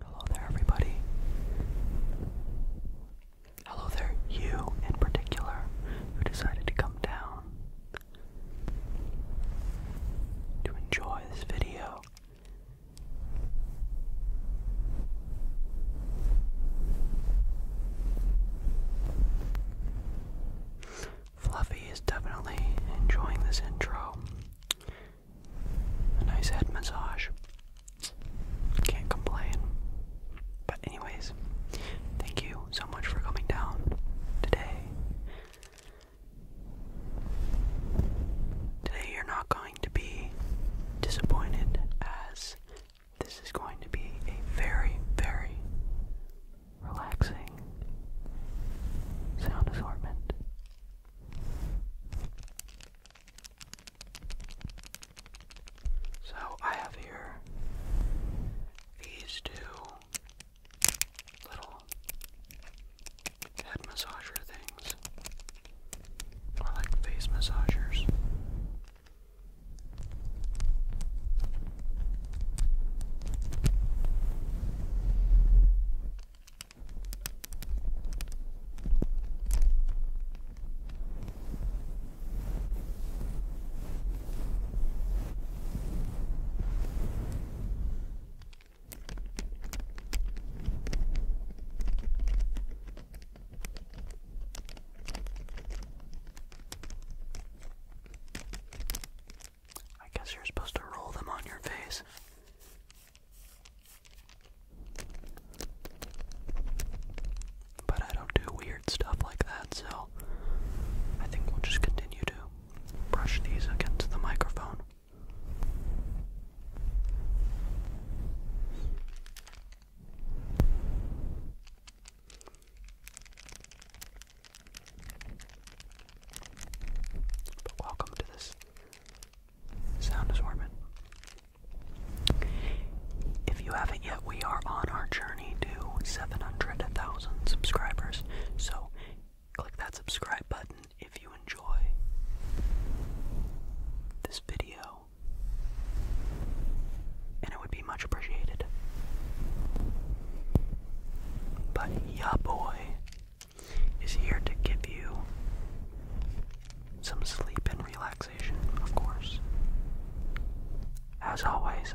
Hello there, everybody. Hello there, you in particular, who decided to come down to enjoy this video. Fluffy is definitely enjoying this intro. A nice head massage. Can't complain. But, anyways, thank you so much for coming down today. Today you're not going to be disappointed, as this is going to be a very, very relaxing sound assortment. So I have here these two little head massager things. I like face massagers. I guess you're supposed to roll them on your face. But I don't do weird stuff like that, so I think we'll just continue to brush these against the microphone. welcome to this sound assortment. If you haven't yet, we are on our journey to 700,000 subscribers. So click that subscribe button if you enjoy this video, and it would be much appreciated. But Ya Boy is here to give you some sleep and relaxation, of course. As always,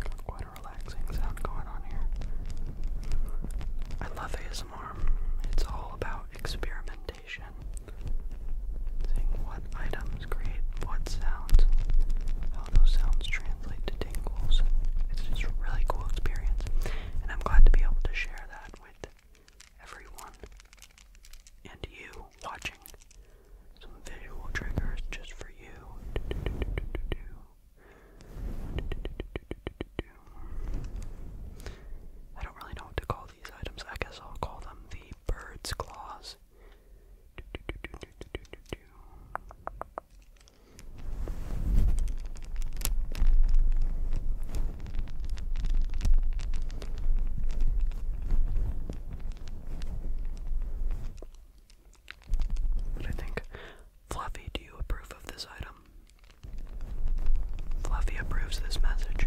Got quite a relaxing sound going on here. I love ASMR. It's all about experimentation. Seeing what items create what sounds, how those sounds translate to tingles, and it's just a really cool experience. And I'm glad to be able to share that with everyone and you watching. Some visual triggers just for you. I don't really know what to call these items. I guess I'll call them the bird's claws. What do you think? Fluffy, do you approve of this item? Fluffy approves this message.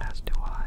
As do I.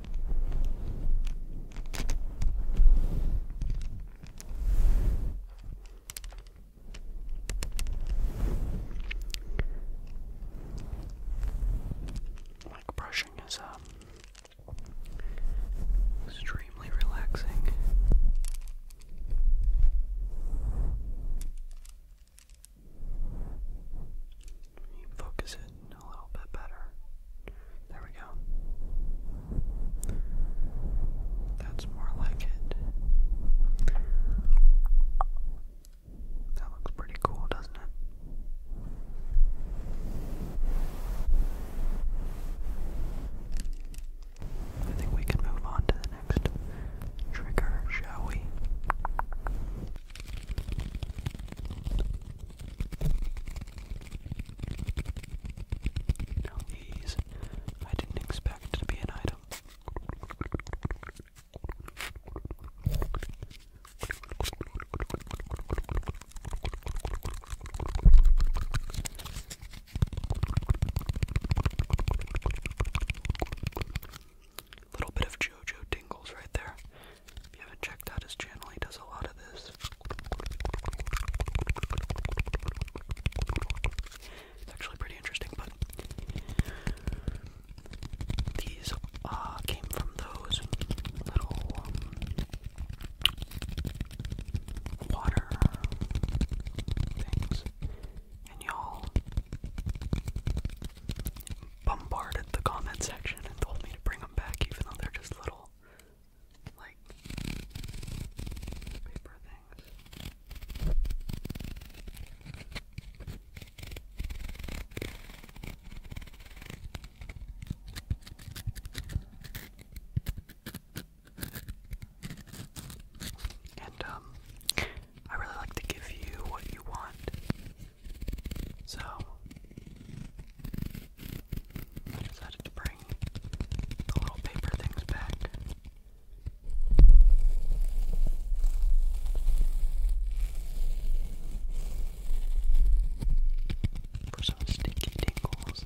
Like brushing is um extremely relaxing focus it a little bit better. There we go. That's more like it. That looks pretty cool, doesn't it? I think we can move on to the next trigger, shall we? Now these I didn't expect to be an item. A little bit of JoJo tingles right there. If you haven't checked out his channel, he does a lot of this. It's actually pretty interesting, but these uh, came from those little um, water things. And y'all, bombarded the comment section and told me to bring them back, even though they're just little, like, paper things. And um I really like to give you what you want so I decided to bring the little paper things back. For some sticky tingles.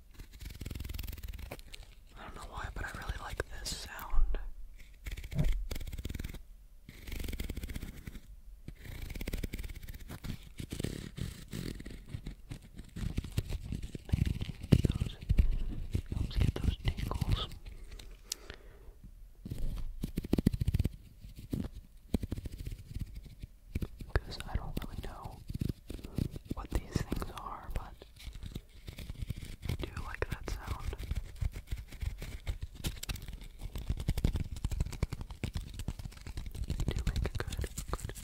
I don't know why, but I really like this sound. helps get those tingles because I don't really know what these things are, but I do like that sound. They do make a good, good,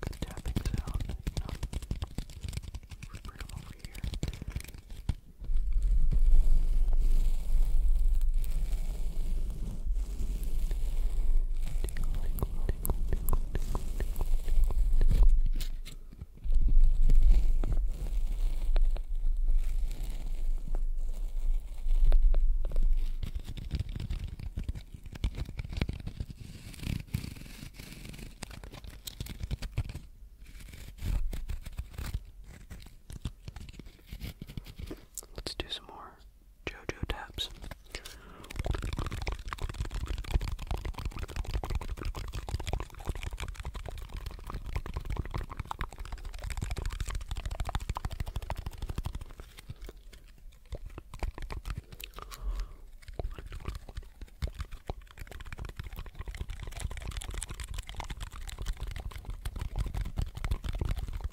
good tapping sound, you know. Put them over here. Good. Let's do some more JoJo taps.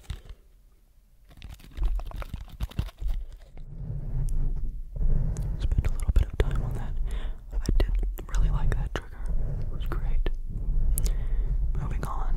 Spend a little bit of time on that. I did really like that trigger. It was great. Moving on.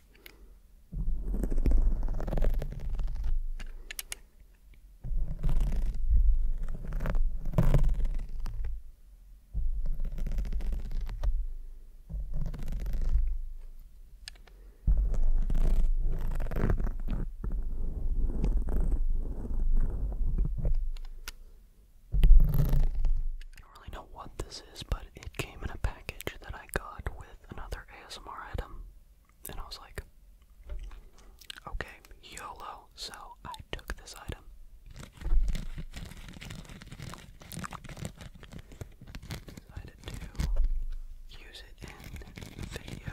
I don't really know what this is, but it came in a package that I got with another ASMR item. And I was like, okay, YOLO. So I took this item. Decided to use it in the video.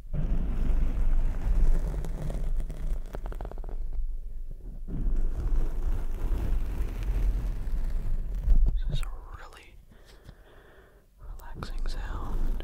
This is a really relaxing sound.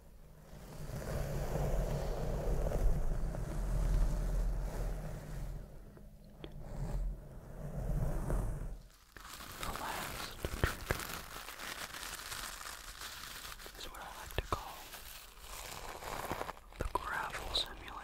The last trigger is what I like to call the gravel simulator.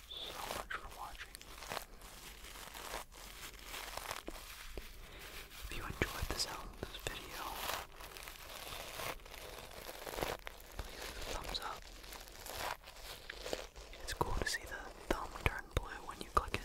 so much for watching. If you enjoyed the sound video, please leave a thumbs up. It's cool to see the thumb turn blue when you click it.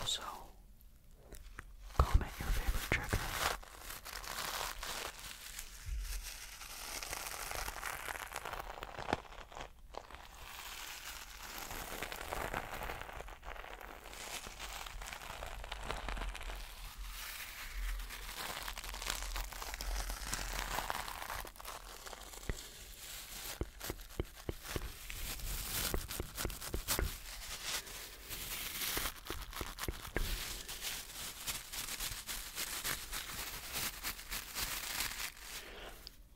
Also, comment your favorite trigger.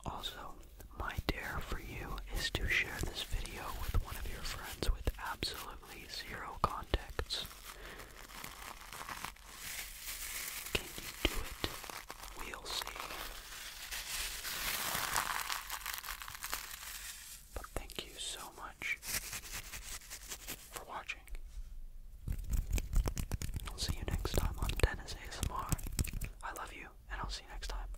Also, my dare for you is to share this video with one of your friends with absolute zero contacts. Can you do it? We'll see. But thank you so much for watching. I'll see you next time on Dennis ASMR. I love you, and I'll see you next time.